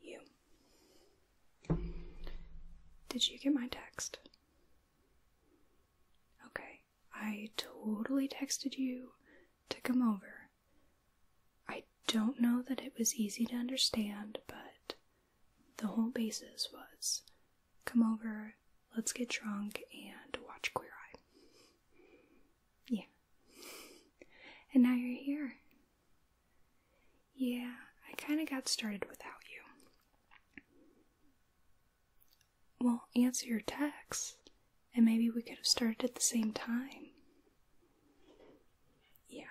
You. Did you get my text? Okay, I totally texted you to come over. I don't know that it was easy to understand, but the whole basis was come over, let's get drunk, and watch Queer Eye. Yeah. And now you're here. Yeah, I kind of got started without you. Well, answer your texts, and maybe we could have started at the same time. Yeah.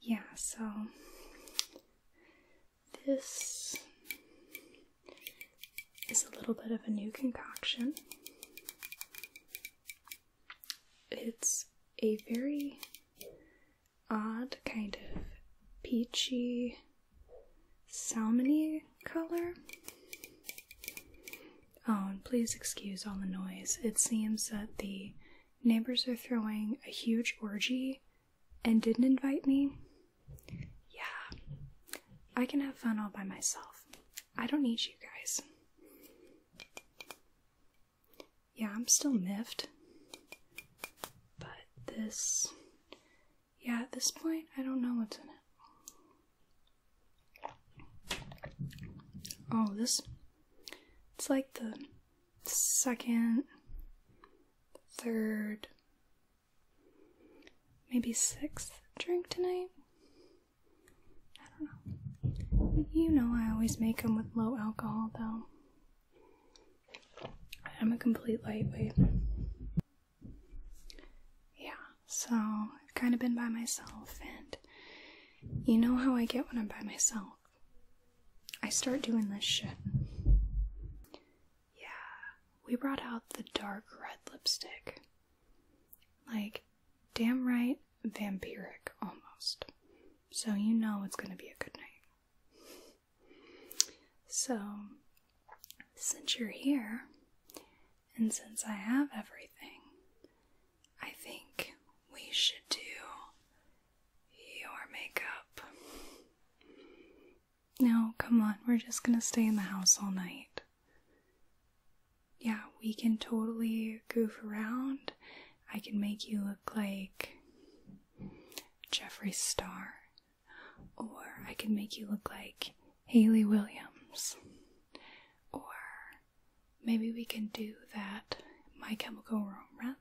Yeah, so this is a little bit of a new concoction. It's a very odd kind of peachy salmony color. Oh, and please excuse all the noise. It seems that the neighbors are throwing a huge orgy and didn't invite me, yeah, I can have fun all by myself. I don't need you guys. Yeah, I'm still miffed. But this. Yeah, at this point, I don't know what's in it. Oh, this. It's like the second, third, maybe sixth drink tonight. I don't know. You know, I always make them with low alcohol, though. I'm a complete lightweight. Yeah, so I've kind of been by myself, and you know how I get when I'm by myself. I start doing this shit. Yeah, we brought out the dark red lipstick. Like, damn right, vampiric almost. So you know it's gonna be a good night. So, since you're here, and since I have everything, I think we should do your makeup. No, come on, we're just gonna stay in the house all night. Yeah, we can totally goof around. I can make you look like Jeffree Star, or I can make you look like Haley Williams, or maybe we can do that My Chemical Romance.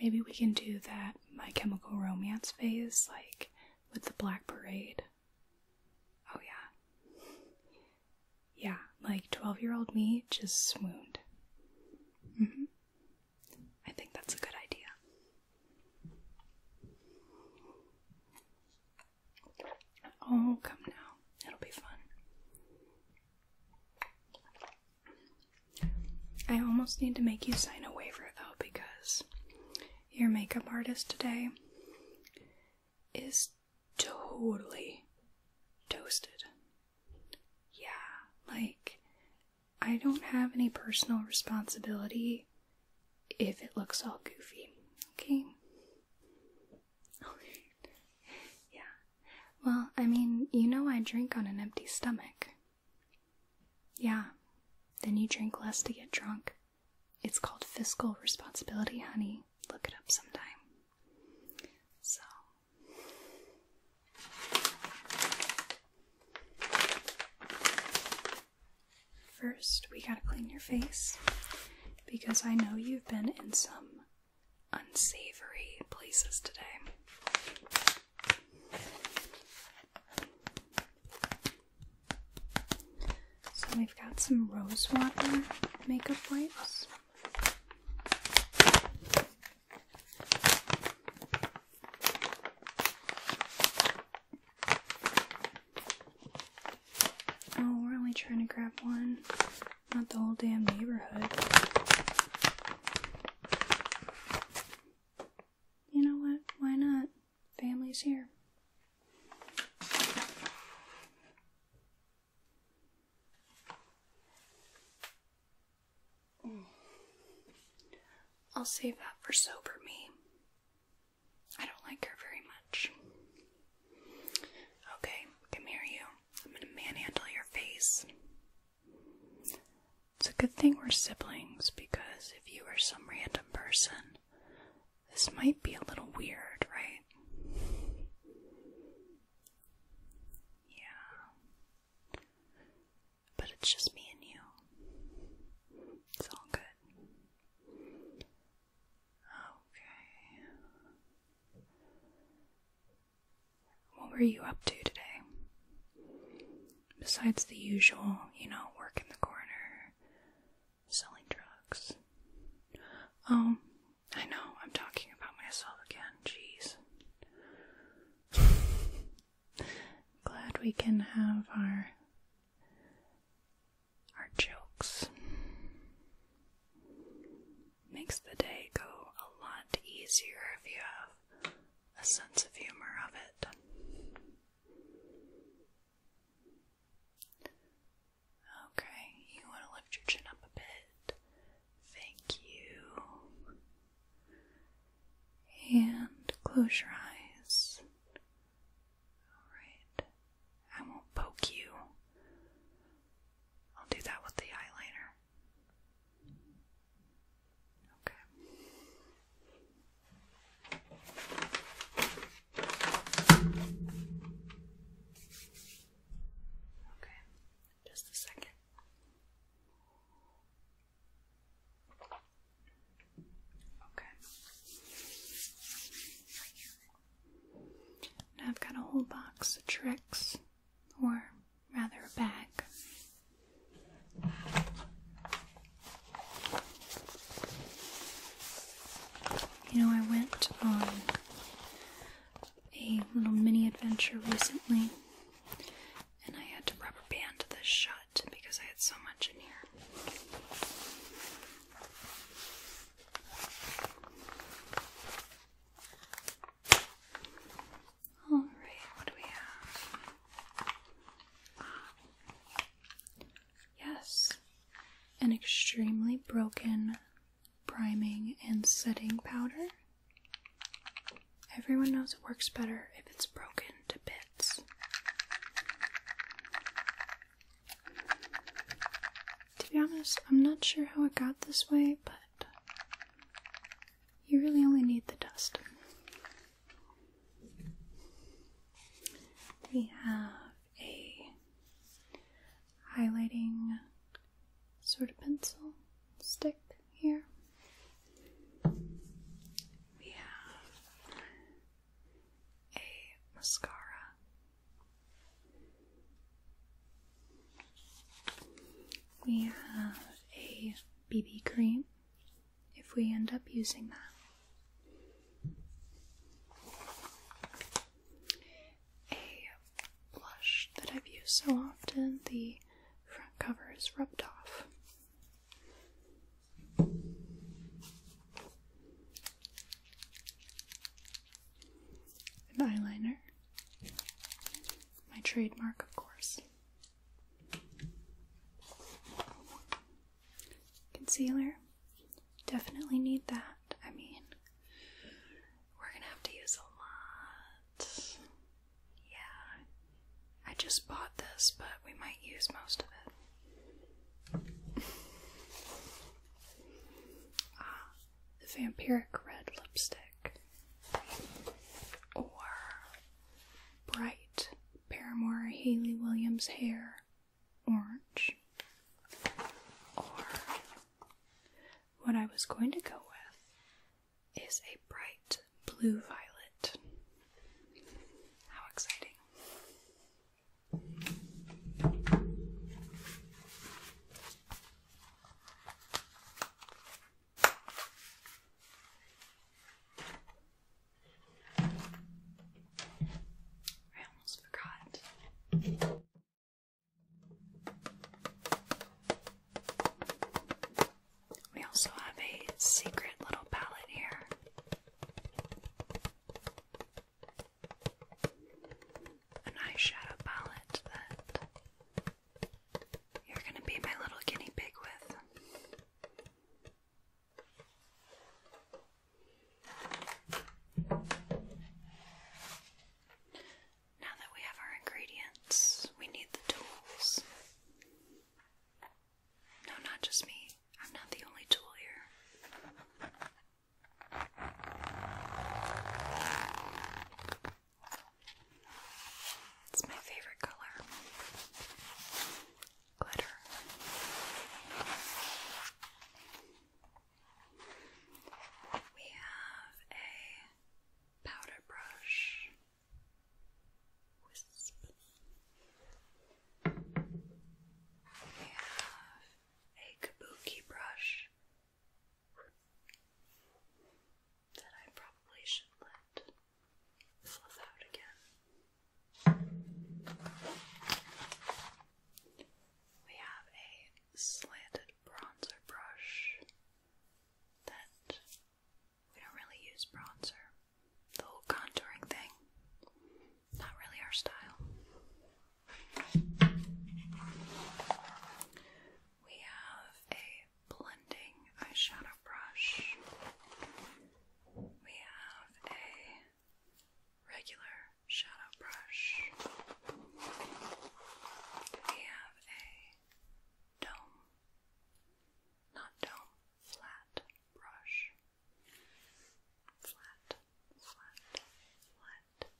Maybe we can do that My Chemical Romance phase, like with the Black Parade. Oh, yeah. Yeah, like 12 year old me just swooned. Mm-hmm. I think that's a good idea. Oh, come now. It'll be fun. I almost need to make you sign a waiver though, because your makeup artist today is totally toasted. Yeah, like, I don't have any personal responsibility if it looks all goofy, okay? Yeah. Well, I mean, you know I drink on an empty stomach. Yeah, then you drink less to get drunk. It's called fiscal responsibility, honey. Look it up sometime. So. First, we gotta clean your face because I know you've been in some unsavory places today. So we've got some rosewater makeup wipes. Oh, we're only trying to grab one, not the whole damn neighborhood you know what? Why not? Family's here. Mm. I'll save that for sober me. I don't like her very much. Okay, come here, you. I'm gonna manhandle your face. It's a good thing we're siblings because if you were some random person, this might be a little weird, right? Yeah. But it's just me and you. It's all good. Okay. What were you up to today? Besides the usual, you know, work in the corner, selling drugs. Oh, I know, I'm talking about myself again, jeez. Glad we can have our our jokes. Makes the day go a lot easier if you have a sense of humor of it. Okay, you want to lift your chin up a bit. Thank you. And close your eyes. Alright. I won't poke you. I'll do that with the eyeliner. Okay. Okay, just a second. Okay. Now I've got a whole box of tricks or rather a bag. You know, I went on a little mini adventure recently, and I had to rubber band this shut because I had so much in here. All right, what do we have? Yes, an extremely broken priming and setting powder. Everyone knows it works better if it's broken to bits. To be honest, I'm not sure how it got this way, but you really only need the dust. We have a highlighting sort of pencil stick here. We have a mascara. We have a BB cream if we end up using that. A blush that I've used so often, the front cover is rubbed off. An eyeliner, my trademark, of course. Concealer. Definitely need that. I mean, we're gonna have to use a lot. Yeah. I just bought this, but we might use most of it. ah, the vampiric red lipstick. Or bright Paramore Haley Williams hair orange. Or what I was going to go with is a bright blue violet. How exciting! I almost forgot. We also have a secret little palette here. An eyeshadow palette that you're going to be my little guinea pig with. Now that we have our ingredients, we need the tools. No, not just me. I'm not the only tool here. It's my favorite color. Glitter. We have a powder brush. Wisp. We have a kabuki brush that I probably should let fluff out again. We have a slanted bronzer brush that we don't really use bronzer. The whole contouring thing, not really our style. We have a blending eyeshadow brush. We have a regular shadow brush. We have a dome, not dome, flat brush. Flat, flat, flat.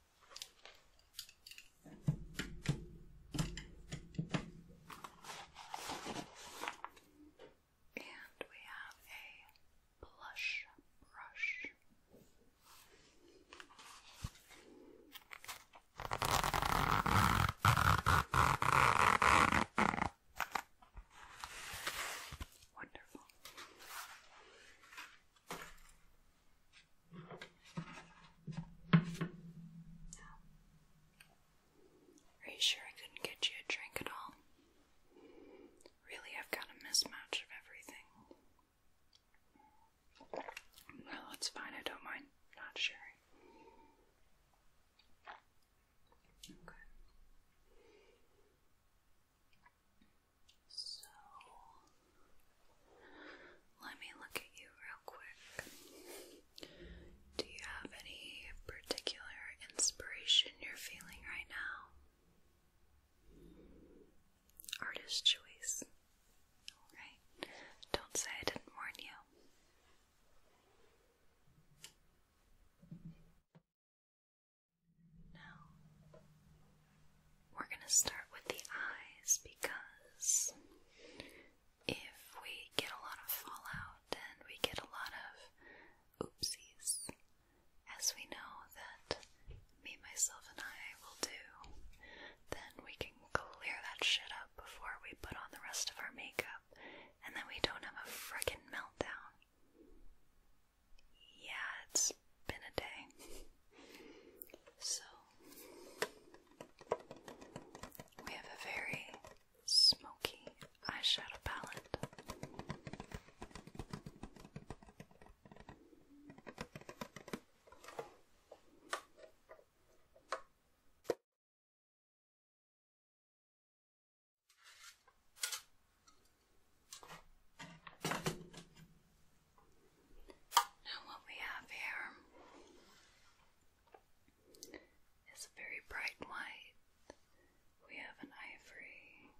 And we have a blush brush. Wonderful. Now, are you sure I couldn't get you a drink at all? Really, I've got a mismatch of everything. Well, it's fine, I don't mind not sharing. Okay. So, let me look at you real quick. Do you have any particular inspiration you're feeling right now? Artist choice. Alright. Don't say I didn't warn you. Now, we're going to start with the eyes because if we get a lot of fallout and we get a lot of oopsies, as we know that me, myself, and I will do, then we can clear that shit up before we put on the rest of our makeup and then we don't have a frickin' meltdown. Yeah, it's been a day. So, we have a very smoky eyeshadow palette. Now, what we have here it's a very bright white. We have an ivory,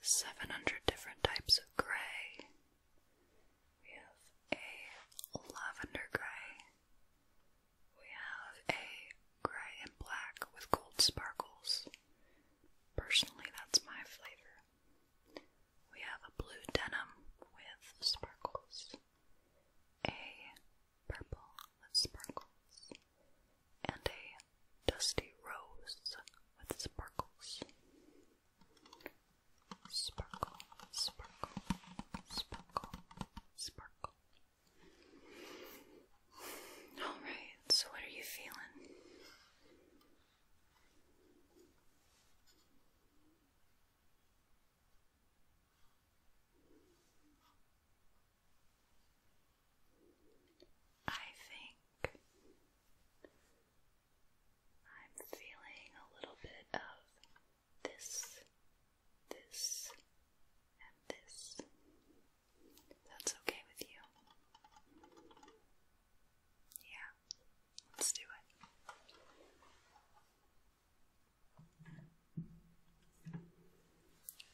700 different types of gray. We have a lavender gray. We have a gray and black with gold sparkles. Personally, that's my flavor. We have a blue denim with sparkles, a purple with sparkles, and a dusty rose with sparkles. Sparkle, sparkle, sparkle, sparkle. Alright, so what are you feeling? I think I'm feeling a little bit of this, this, and this. That's okay with you. Yeah, let's do it.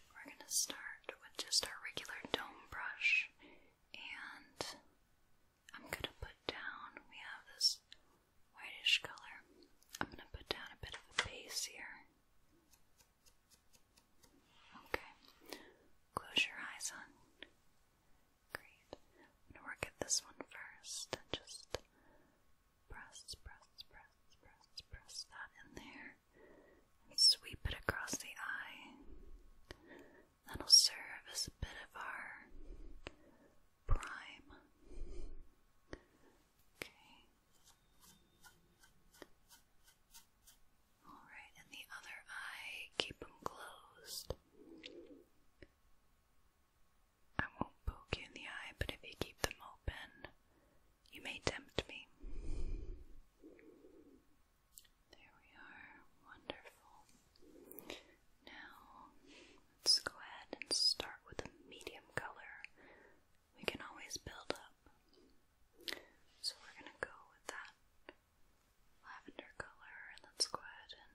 We're going to start with just our regular dome brush, and I'm going to put down, we have this whitish color, I'm going to put down a bit of a base here. Okay, close your eyes on. Great. going to work at this one first and just Press, press, press, press, press that in there and sweep it across the eye. That'll serve as a bit of our prime. Okay. Alright, and the other eye, keep them closed. I won't poke you in the eye, but if you keep them open, you may tempt me. There we are. Wonderful. Now, let's go ahead and start with a medium color. We can always build up. So, we're going to go with that lavender color, and let's go ahead and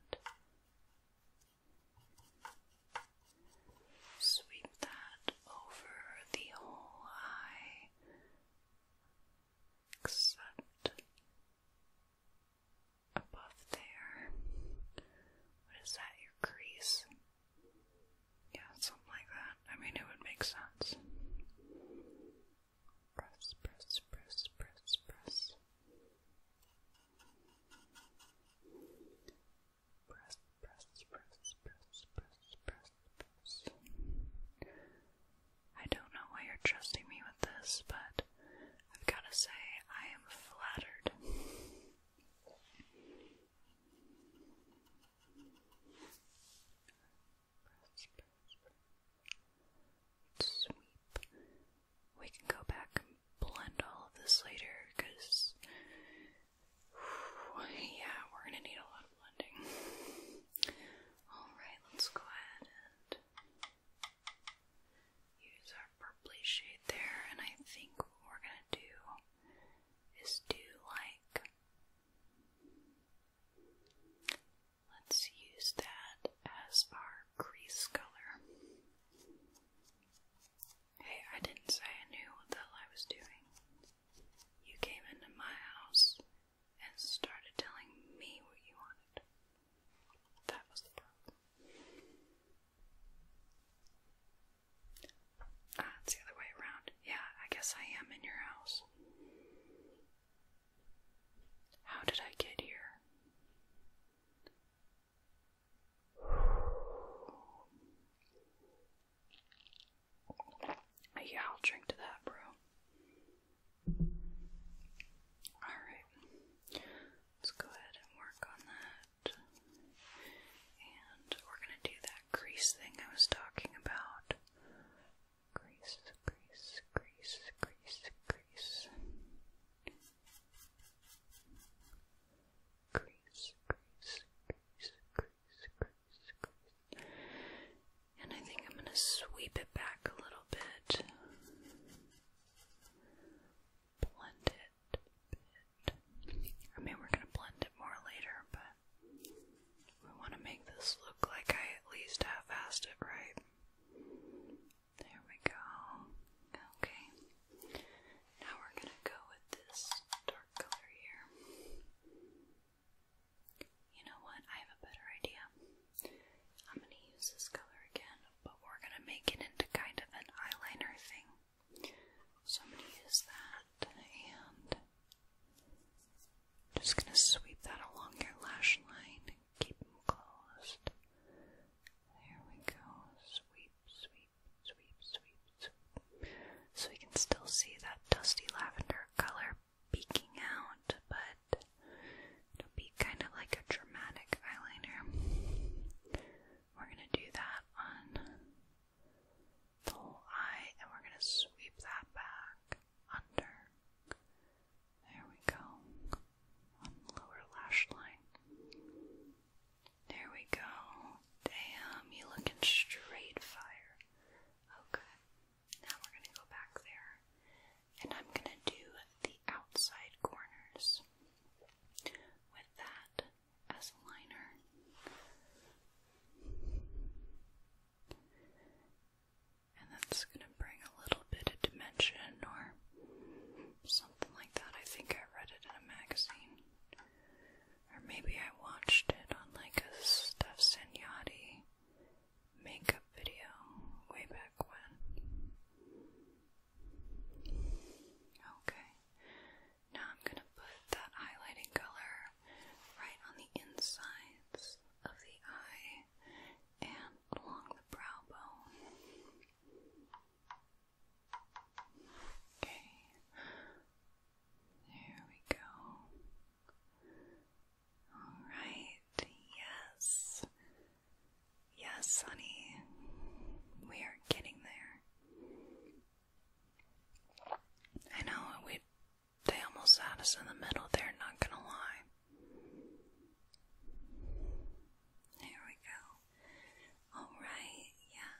Sweep that over the whole eye, except above there. What is that, your crease? Yeah, something like that. I mean, it would make sense. Press, press, press, press, press. I don't know why you're trusting me with this, but I've got to say, I am flattered. Sweep. We can go back and blend all of this later because yeah, we're gonna need a lot of blending. Alright, let's go ahead and use our purpley shade there, and I think what we're gonna do is do like let's use that as our crease color. Hey, I didn't say I knew what the hell I was doing. You came into my house and started telling me what you wanted. That was the problem. Ah, the other way around. Yeah, I guess I am in your house. How did I get here? Yeah, I'll drink to that, bro. Alright, let's go ahead and work on that. And we're gonna do that crease thing I was talking about. Grease, grease, grease, grease, grease. And I think I'm going to sweep it back a little bit. Blend it I mean, we're going to blend it more later, but we want to make this look like I at least half-assed it right. There we go. Okay. Now we're going to go with this dark color here. You know what? I have a better idea. I'm going to use this color again, but we're going to make it into kind of an eyeliner thing. So I'm going to use that and just going to sweep that along your lash line and keep them closed. There we go. Sweep, sweep, sweep, sweep, sweep. So we can still see that dusty lavender color peeking out, but it be kind of like a dramatic eyeliner. We're going to do that on the eye, and we're going to sweep that back under. There we go. lower lash line. There we go. Damn, you looking straight fire. Okay. Now we're gonna go back there. And I'm gonna do the outside corners with that as a liner. And that's gonna bring a little bit of dimension or something like that. I think I read it in a magazine. Or maybe I watched it on like a Steph Senyatta makeup video way back when. Okay. Now I'm gonna put that highlighting color right on the insides of the eye and along the brow bone. Okay. There we go. All right. Yes. Yes, honey. We are getting there. I know we they almost had us in the middle there, not gonna lie. There we go. All right. Yeah.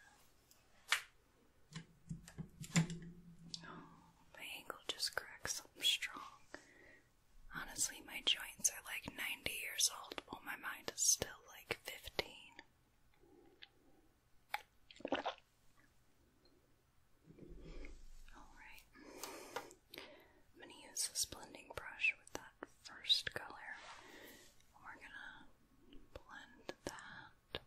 Oh, my ankle just cracked something strong. Honestly, my joints are like 90 years old while my mind is still like 15. Alright. I'm going to use this blending brush with that first color. We're going to blend that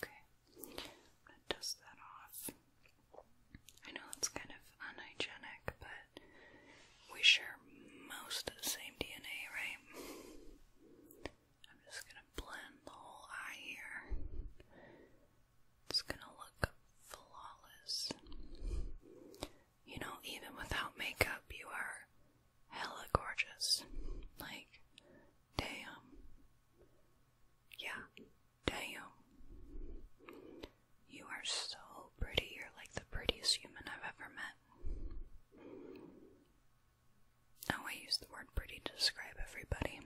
Okay, gonna dust that off. I know it's kind of unhygienic, but we share most of the same DNA, right? I'm just gonna blend the whole eye here. It's gonna look flawless. You know, even without makeup, you are hella gorgeous. Like, damn. Yeah, Damn. You are so pretty. You're like the prettiest human I've ever met. Now oh, I use the word pretty to describe everybody.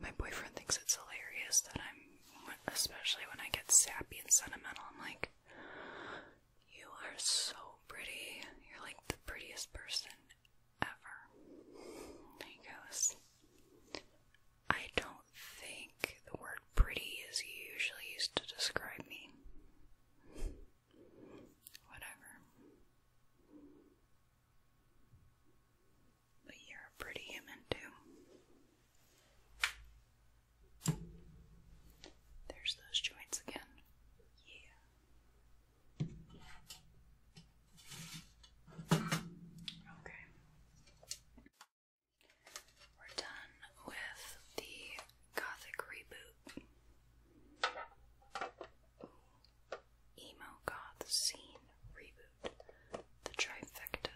My boyfriend thinks it's hilarious that I'm, especially when I get sappy and sentimental, I'm like, you are so pretty. You're like the prettiest person ever. He goes, I don't think the word pretty is usually used to describe me. Whatever. But you're a pretty human, too. There's those joints again. Yeah. Okay. We're done with the gothic reboot. Emo goth scene reboot. The trifecta.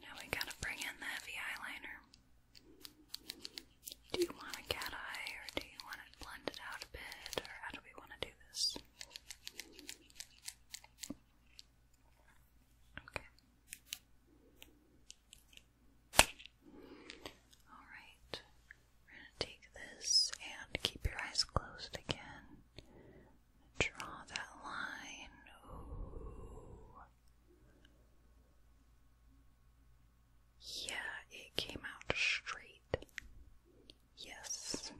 Now we gotta bring in the heavy eyeliner. Do you want a cat eye or do you want it out a bit or how do we want to do this? Okay. Alright. We're gonna take this and keep your eyes closed again. Draw that line. Yeah, it came out straight. Yes.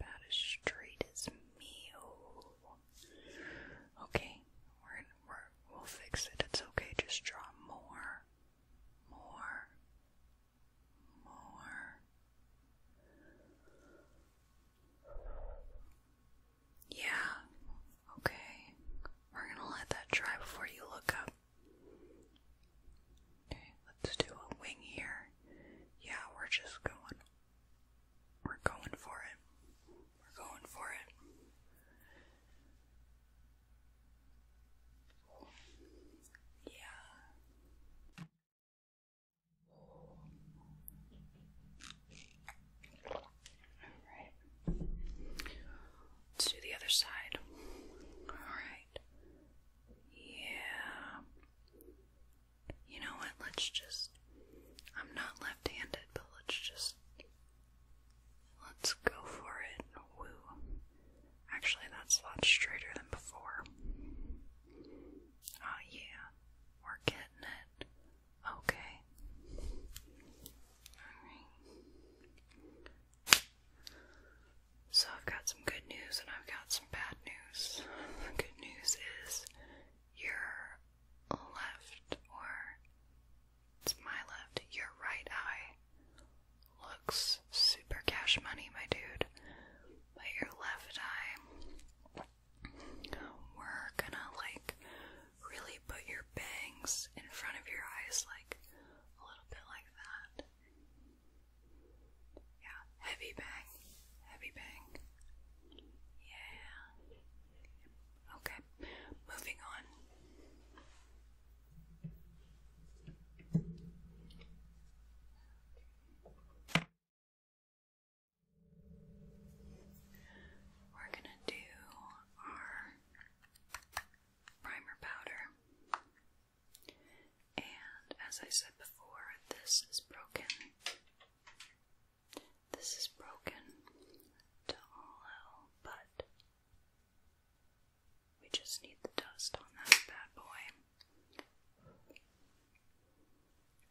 About as straight as me. Okay, we're, we're we'll fix it. It's okay. Just draw more, more, more. Yeah, okay. We're gonna let that dry before you look up. Okay, let's do a wing here. Yeah, we're just going. We're going for it. We're going for it. Yeah. Let's do the other side. Alright. Yeah. You know what? Let's just. I'm not left handed, but let's just. Let's go for it. Woo. Actually, that's a lot straighter than before. Oh, yeah, we're getting it. Okay. Alright. So, I've got some good news and I've got some bad news. The good news is your left, or it's my left, your right eye looks super cash money, my dude. But your left eye we're gonna like really put your bangs in front of your eyes, like a little bit like that. Yeah, heavy bang, heavy bang. Yeah. Okay, moving on. We're going to do our primer powder. And as I said before, this is broken. This is broken to all hell, but we just need the dust on that bad boy.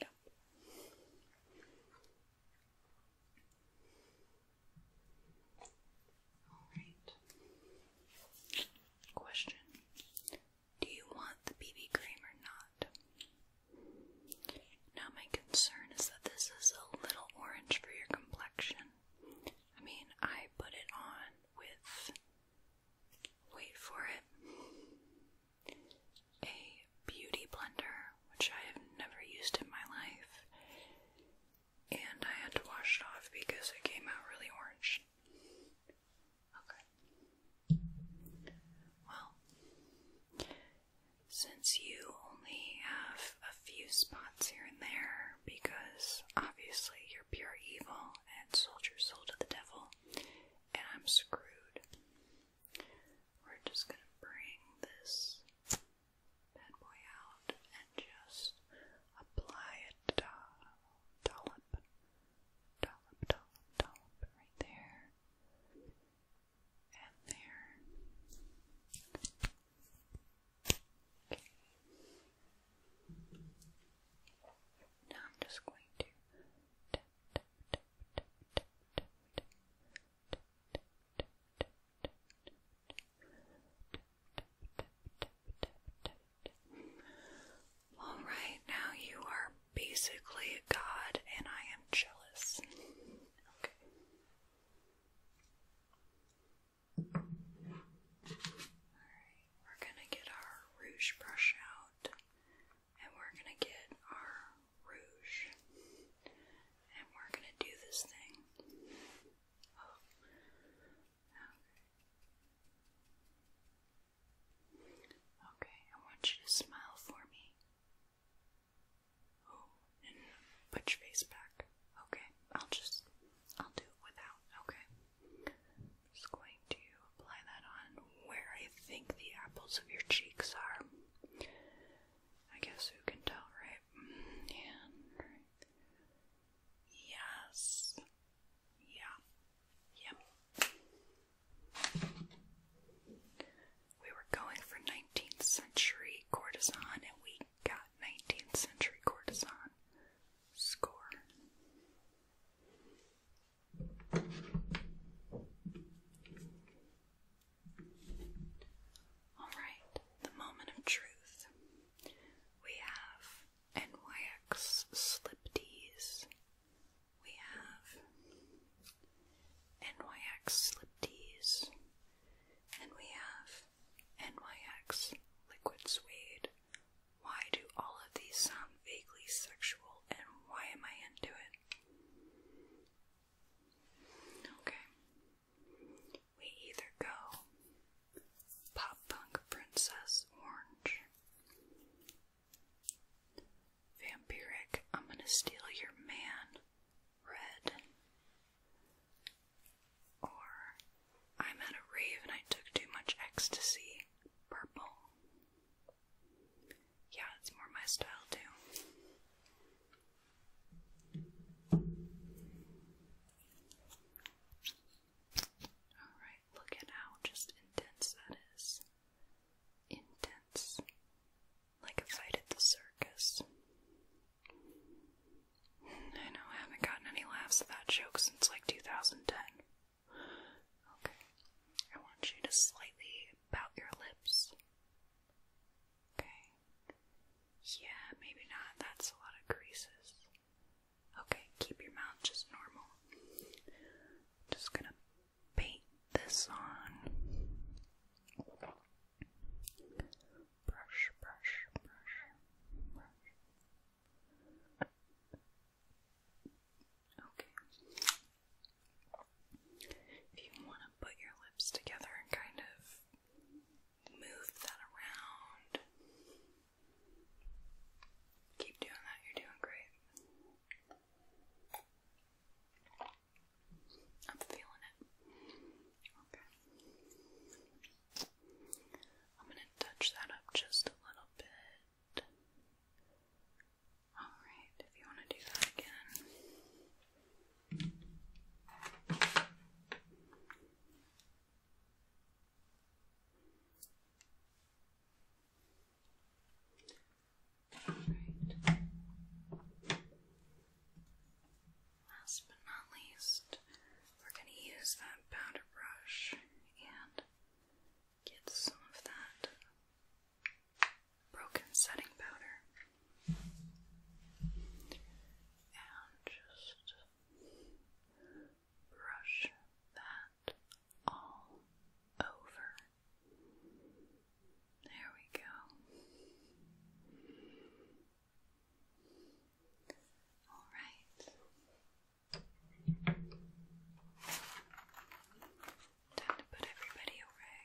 Yep. Alright. Question Do you want the BB cream or not? Now, my concern is that this is a little orange for your complexion. I mean, I put it on with wait for it, a beauty blender, which I have never used in my life, and I had to wash it off because it came out really orange. Okay. Well, since you only have a few spots here and there, because obviously you're pure evil and sold your soul to the devil, and I'm screwed. We're just gonna bring this bad boy out and just apply a dollop, dollop, dollop, dollop right there and there. Okay. Now I'm just going to all right, now you are basically a god, and I am jealous. okay. All right, we're gonna get our rouge brush out and we're going to get our rouge and we're going to do this thing. Oh. Okay. okay, I want you to smile for me. Oh, and put your face back. Okay, I'll just, I'll do without. Okay just going to apply that on where I think the apples of your cheeks are. I guess who can tell, right? Yes. Yeah. Yep. We were going for 19th century courtesan and we got 19th century courtesan. Score. Alright, the moment of truth. We have NYX Slip D's. We have NYX Slip D's. And we have NYX Liquid Suede why do all of these sound vaguely sexual and why am I into it? Okay. We either go Pop Punk Princess Orange. Vampiric, I'm gonna steal your man. Red. Or I'm at a rave and I took too much ecstasy. Purple. Yeah, it's more my style too. Alright, look at how just intense that is. Intense. Like a fight at the circus. I know I haven't gotten any laughs at that joke since like 2010. Okay. I want you to slightly pout your lips. Okay. Yeah, maybe not. That's a lot of creases. Okay, keep your mouth just normal. Just gonna paint this on. Brush, brush, brush, brush. Okay. If you want to put your lips together and kind of move that around, keep doing that, you're doing great. I'm feeling it. Okay. I'm going to touch that up just a little bit. Alright, if you want to do that again. Last but not least, we're going to use that powder brush and get some of that broken setting powder and just brush that all over. There we go. All right. Time to put everybody away.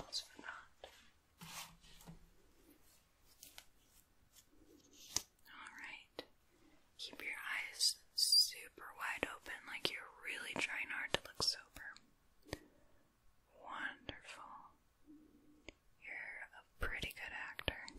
almost forgot. Alright. Keep your eyes super wide open, like you're really trying hard to look sober. Wonderful. You're a pretty good actor.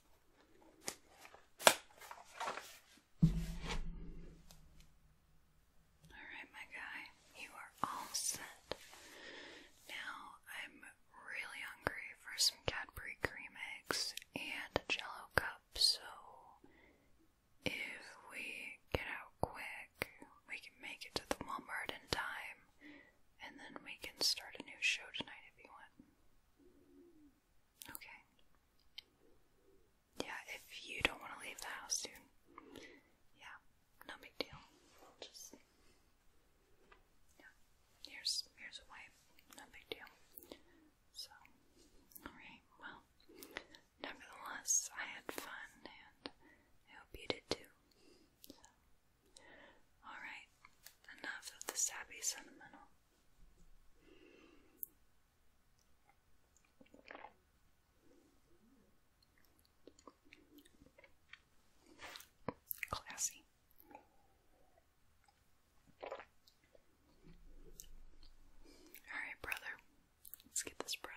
Alright, my guy, you are all set. Now I'm really hungry for some Cadbury cream eggs and a jello cup, so if we get out quick, we can make it to the Walmart in time, and then we can start a new show tonight if you want. Okay. Yeah, if you don't want to leave the house soon, yeah, no big deal. Just yeah. Here's here's a wipe. No big deal. So, alright, well, nevertheless, I had fun and I hope you did too. So, Alright, enough of the sappy sentimental. Classy. Alright, brother, let's get this bread.